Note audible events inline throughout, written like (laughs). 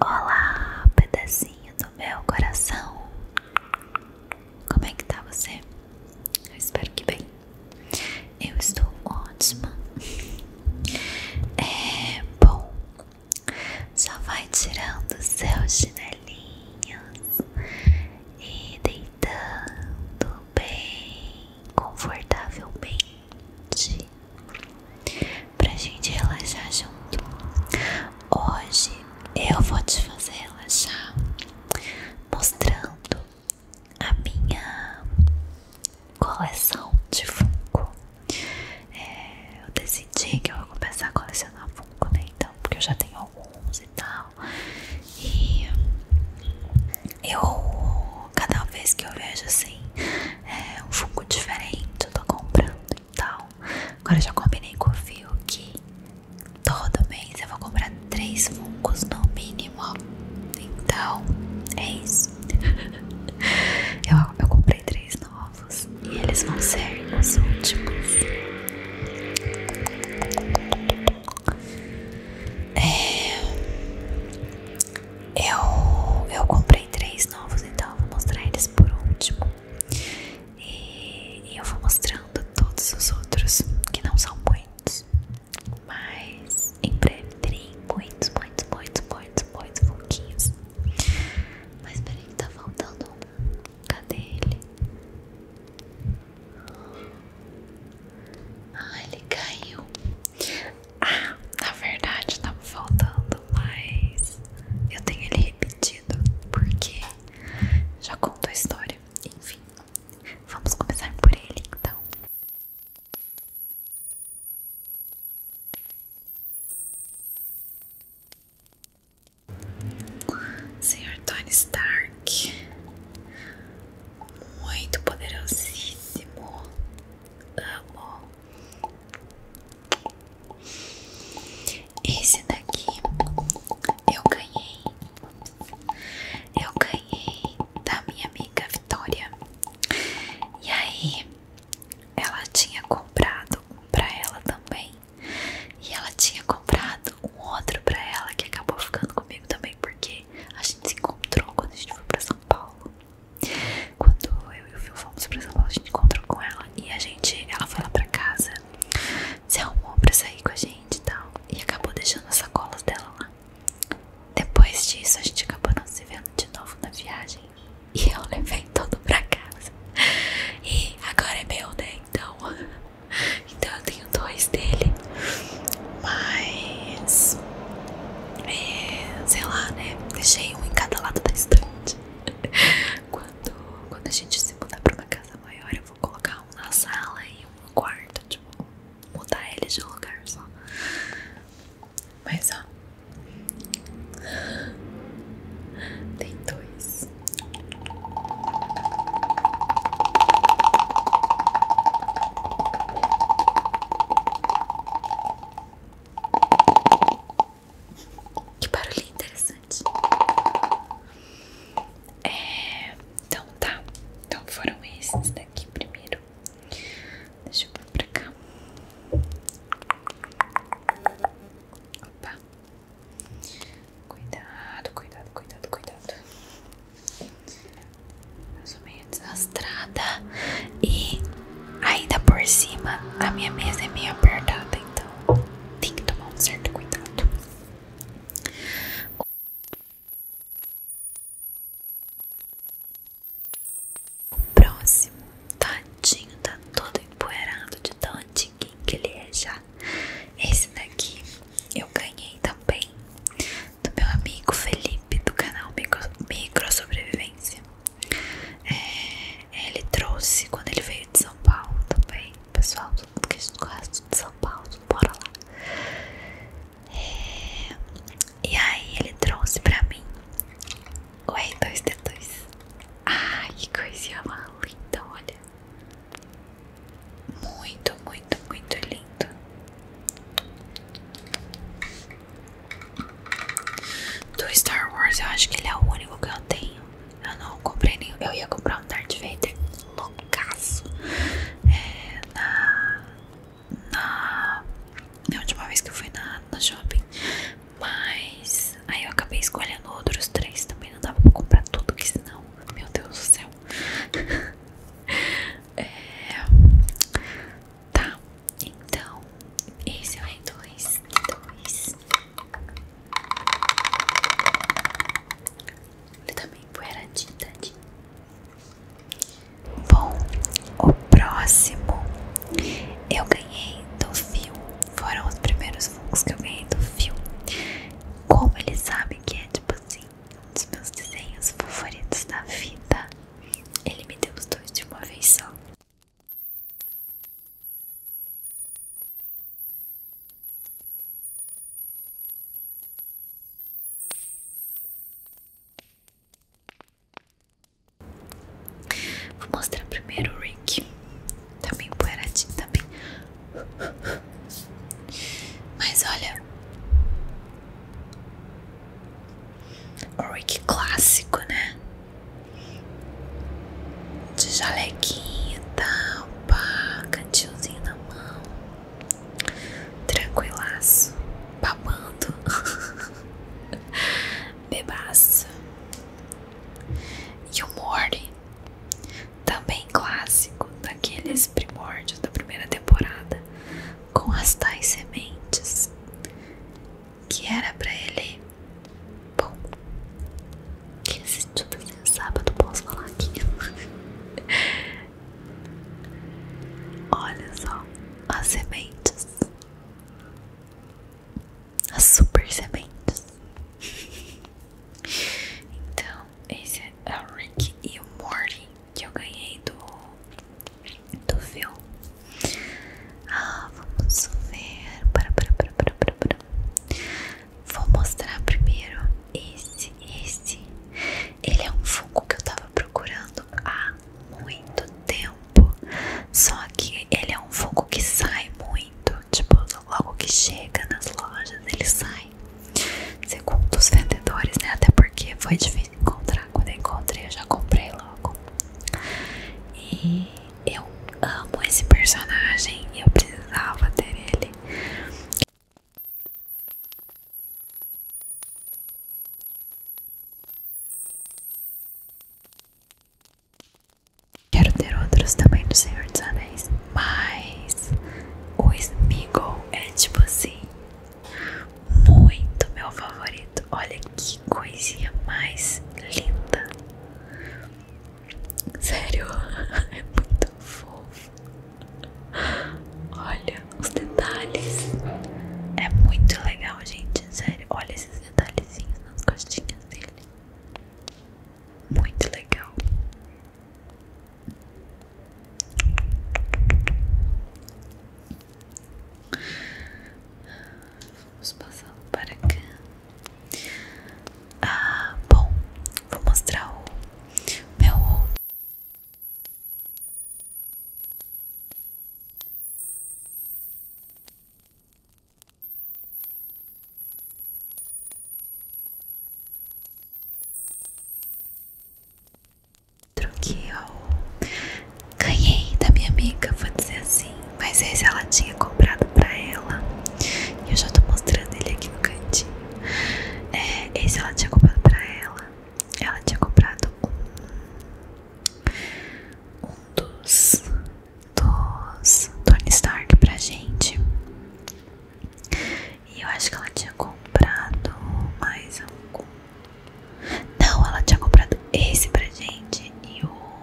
Olá, pedacinho do meu coração. Como é que tá você? Eu espero que bem. Eu estou ótima. É bom. Só vai tirando seus chinelinhos e deitando bem confortavelmente hoje pra gente relaxar junto. Hoje eu vou te fazer relaxar mostrando a minha coleção de fungo é, eu decidi que eu vou começar a colecionar fungo né? Então, porque eu já tenho alguns e tal. E eu, cada vez que eu vejo assim, é, um fungo diferente eu tô comprando e tal. agora já combinei com o Fio que todo mês eu vou comprar três funcos no mínimo então é isso (laughs) eu, eu comprei três novos e eles vão ser os últimos é, eu, eu comprei três novos, então eu vou mostrar eles por último. E, eu vou mostrando todos os outros, que não são muitos. Mas em breve terei muitos, muitos, muitos, muitos, muitos pouquinhos. Mas peraí que tá faltando um. Cadê ele? Ah, ele caiu. Ah, na verdade tá faltando, mas eu tenho ele repetido porque já conto a história. Enfim, vamos começar por ele então. Senhor Tony Stark, muito poderosíssimo, amo esse daqui eu ganhei. Eu ganhei da minha amiga Vitória. E aí, ela tinha comprado um pra ela também. E ela tinha comprado um outro pra ela que acabou ficando comigo também, porque a gente se encontrou quando a gente foi pra São Paulo. Quando eu e o Phil fomos pra São a gente encontrou com ela e a gente, ela foi lá pra casa, se arrumou pra sair com a gente e tal, e acabou deixando as sacolas dela lá. Depois disso, a gente acabou não se vendo de novo na viagem e eu levei todo pra casa. E agora é meu, né? Então, (laughs) então eu tenho dois dele. Mas é, sei lá, né? Deixei um em cada lado da estante. (laughs) Quando, quando a gente se mudar pra uma casa maior, eu vou colocar um na sala e um no quarto. Tipo, mudar eles de lugar só. Mas ó. (gasps) Tem dois. Que barulho interessante. É, então tá. Então foram esses daqui primeiro. Deixa eu vir pra cá. Opa. Cuidado, cuidado, cuidado, cuidado. Eu sou meio desastrada e ainda por cima a minha mesa é meio apertada, então tem que tomar um certo cuidado. O próximo, tadinho, tá todo empoeirado de tão antiguinho que ele é já. Esse daqui eu ganhei também do meu amigo Felipe do canal Micro, Micro Sobrevivência. É, ele trouxe quando ele veio de São Paulo também, pessoal que resto de São Paulo, bora lá. É, e aí ele trouxe pra mim o R2D2. Ai, que coisinha linda, olha. Muito, muito, muito lindo. Do Star Wars, eu acho que ele é o único que eu tenho. Eu não comprei nenhum. Eu ia comprar um Darth Vader loucaço. É, na, na, na última vez que eu fui na, na shopping. Mas aí eu acabei escolhendo outros três também. Não dava pra comprar tudo, que senão. Meu Deus do céu. (laughs) É... Tá, então esse é o R2, R2. Ele também foi tadinho. Bom, o próximo eu ganhei do fio. Foram os primeiros fungos que eu ganhei do fio. Como ele sabe que é tipo assim, um dos meus desenhos favoritos da vida. Ele me deu os dois de uma vez só. Vou mostrar primeiro o Rick. tá poeiradinho também. Tá bem mas olha, Rick clássico, né? De jalequinho e tal, pá, cantilzinho na mão, tranquilaço, babando, (laughs) bebaço. E o Morty também clássico daqueles primórdios da primeira temporada, com as tais sementes, que era para ele bom. Que esse tipo assim, sábado posso falar aqui. (laughs) Olha só as sementes, as super sementes. (laughs) Então, esse é o Rick e o Morty que eu ganhei do, do Phil. Ah, vamos ver. Para, para, para, para, para, Vou mostrar primeiro esse, esse. Ele é um fogo que eu tava procurando há muito tempo. Só que ele é um fogo que sai muito. Tipo, logo que chega nas lojas, ele sai. Segundo os vendedores, né? Até porque foi difícil encontrar. Quando encontrei, eu já comprei logo. E eu amo esse personagem. e Eu precisava ter ele. Quero ter outros também do Senhor dos Anéis. Mas o Smiggle é tipo assim, muito meu favorito. Olha que coisinha mais linda. Sério, (laughs) é muito fofo. Olha os detalhes. É muito legal, gente. Sério, olha esses detalhezinhos nas costinhas dele muito legal. Vamos passar para cá. Ah, bom, vou mostrar o meu outro que eu ganhei da minha amiga, vou dizer assim. Mas esse ela tinha comprado pra ela. E eu já tô mostrando ele aqui no cantinho. É, esse ela tinha comprado pra ela. Ela tinha comprado um, um dos, dos Tony Stark pra gente. E eu acho que ela tinha comprado mais algum. Não, ela tinha comprado esse pra gente e o.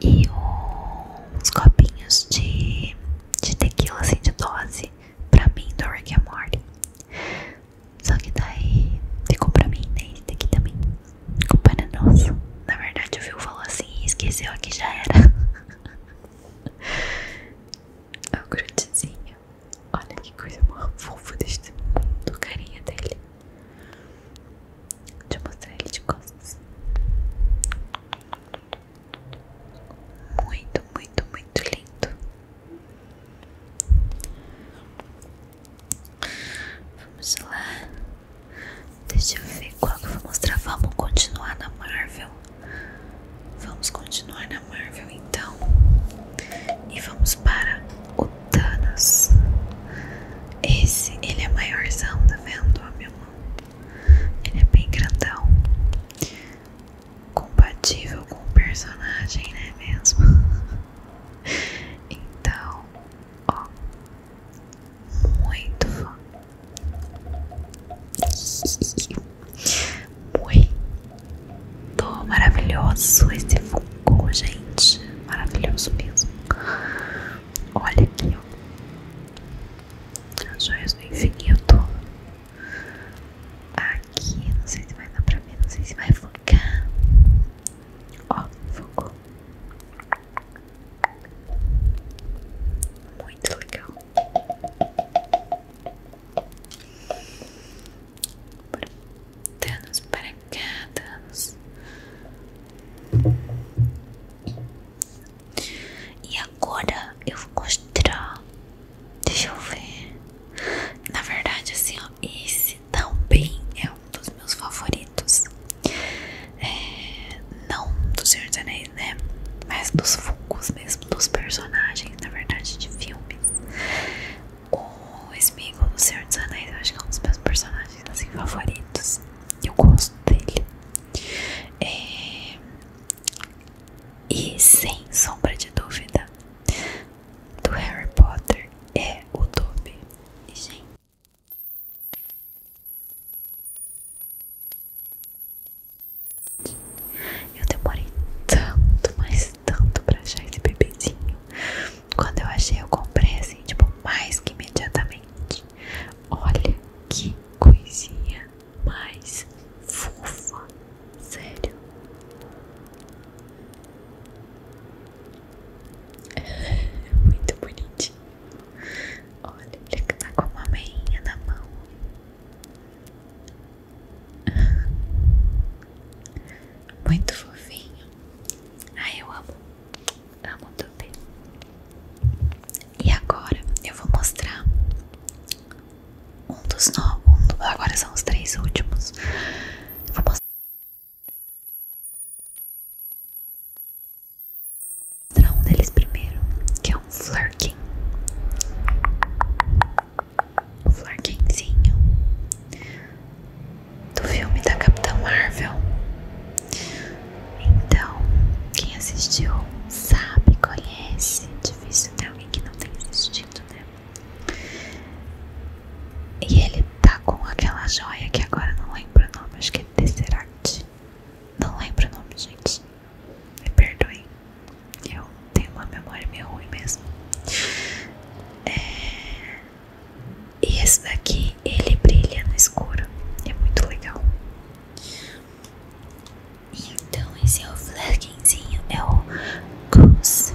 E o, copinhos de, tequila, assim, de dose, pra mim do Rick and Morty. Só que daí ficou pra mim, né? Esse daqui também. Ficou para nós. Na verdade, o Phil falou assim e esqueceu aqui já era. (laughs) É (laughs) o grudezinho, Olha que coisa mais fofa deste mundo, carinha dele. Deixa eu mostrar ele de costas. Muito, muito, muito lindo. Vamos lá. Deixa eu ver qual que eu vou mostrar. Vamos continuar na Marvel. Vamos continuar na Marvel então. E vamos para o Thanos. Esse, ele é maiorzão, tá vendo? Ó, minha mão. Ele é bem grandão. Compatível com o personagem, né mesmo? (laughs) então, ó, muito fã, muito maravilhoso esse fungo, gente, maravilhoso mesmo. Olha aqui, ó, as joias do infinito. Aqui, não sei se vai dar pra ver, não sei se vai focar. Ó, focou. Muito legal. Danos para cá, danos. E agora eu vou mostrar. Deixa eu ver. Na verdade, assim, ó, esse também é dos meus favoritos. É, não do Senhor dos Anéis, né? Mas dos Funkos mesmo, dos personagens, na verdade, de filmes. O Sméagol do Senhor dos Anéis, eu acho que é um dos meus personagens assim, favoritos. E Eu gosto dele. É, e sem sombra de dúvida, do Harry Potter é o dobe E, gente. Eu demorei tanto, mas tanto pra achar esse bebezinho. Quando eu achei, eu comprei assim, tipo, mais que imediatamente. Olha que coisinha mais fofa, sério. Muito bonitinho. Olha, ele tá com uma meinha na mão. Muito fofinho. Ai, eu amo. Amo também. E agora eu vou mostrar um dos novos. agora são os três últimos. vou mostrar. Vou mostrar um deles primeiro, que é um flirking. Um do filme da Capitã Marvel. Então, quem assistiu sabe, conhece. É difícil ter alguém que não tenha assistido, né? E ele tá com aquela joia que agora não lembro o nome, acho que é Tesseract. Não lembro o nome, gente. Me perdoem. Eu tenho uma memória meio ruim mesmo. É, e esse daqui, ele brilha no escuro. É muito legal. Então esse é o flerquinzinho, é o Goose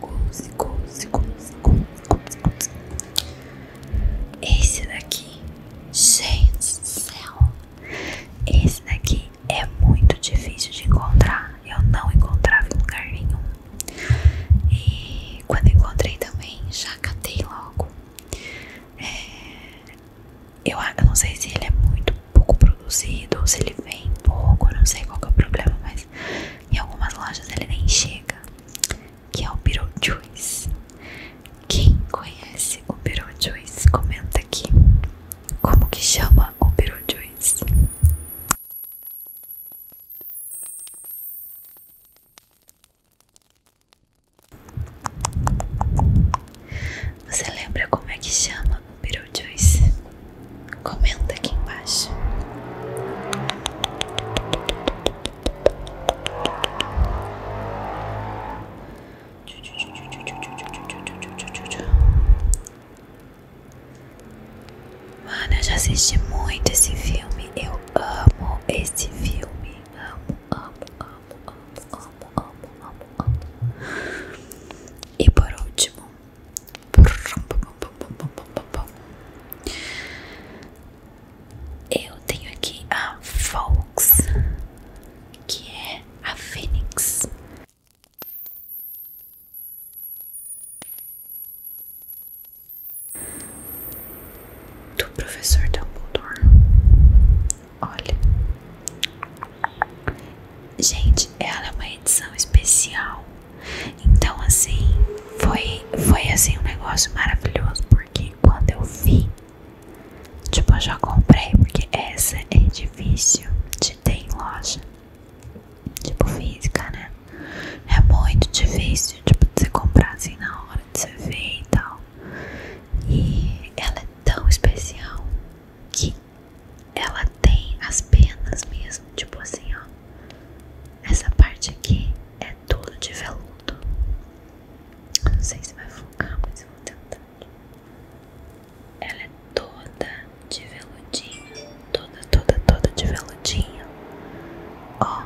Guzi, Guzi, Guzi, Guzi, Guzi. Esse daqui, gente do céu, esse daqui é muito difícil de encontrar. Eu não encontrava em lugar nenhum. E quando encontrei também, já catei logo. É, eu, não sei se ele é muito pouco produzido se ele vem pouco, não sei qual é o problema, mas em algumas lojas ele nem chega. Que é o Beetlejuice. Quem conhece o Beetlejuice, comenta aqui. Como que chama o Beetlejuice? Você lembra como é que chama o Beetlejuice? Comenta aqui embaixo. Mano, eu já assisti muito esse filme. Eu amo esse filme. Amo, amo, amo, amo, amo, amo, amo, amo. E por último, eu tenho aqui a Fox, que é a Fênix. Do professor Dumbledore. Olha. Gente, ela é uma edição especial então assim, foi foi assim um negócio maravilhoso, porque quando eu vi, tipo, eu já comprei, porque essa é difícil de ter em loja. Tipo física, né? É muito difícil, tipo, de você comprar assim na hora de você ver e tal. E ela é tão especial que ela tem as penas mesmo, tipo assim, ó. Essa parte aqui é toda de veludo. não sei se vai focar, mas eu vou tentar. Ela é toda de veludinho, toda, toda, toda de veludinho. Ó,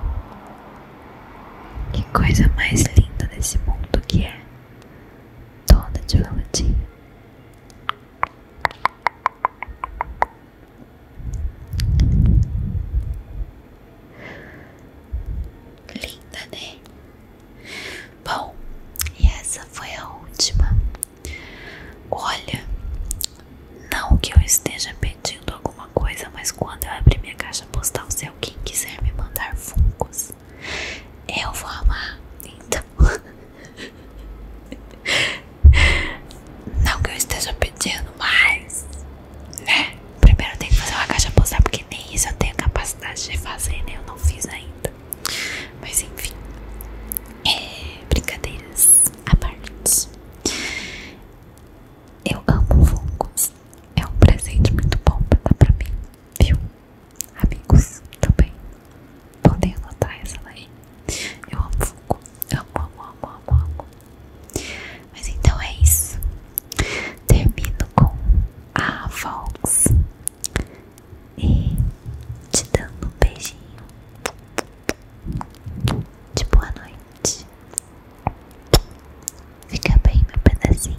que coisa mais linda desse mundo que é. Toda de veludinho. Linda, né? Bom, e essa foi a última. Olha, não que eu esteja pedindo alguma coisa, mas quando eu abrir minha caixa postal, se alguém quiser me mandar funcos, eu vou amar. Então. (laughs) (laughs) Não que eu esteja pedindo, mais, né? Primeiro eu tenho que fazer uma caixa postal, porque nem isso eu tenho capacidade de fazer, né? Eu não fiz ainda. Mas enfim, é, brincadeiras à parte. Eu amo fungos. É um presente muito bom pra dar pra mim, viu? Amigos também. Podem anotar essa daí. Eu amo Funko. Amo, amo, amo, amo, amo. Mas então é isso. Termino com a Vox e te dando um beijinho de boa noite. Fica bem, meu pedacinho.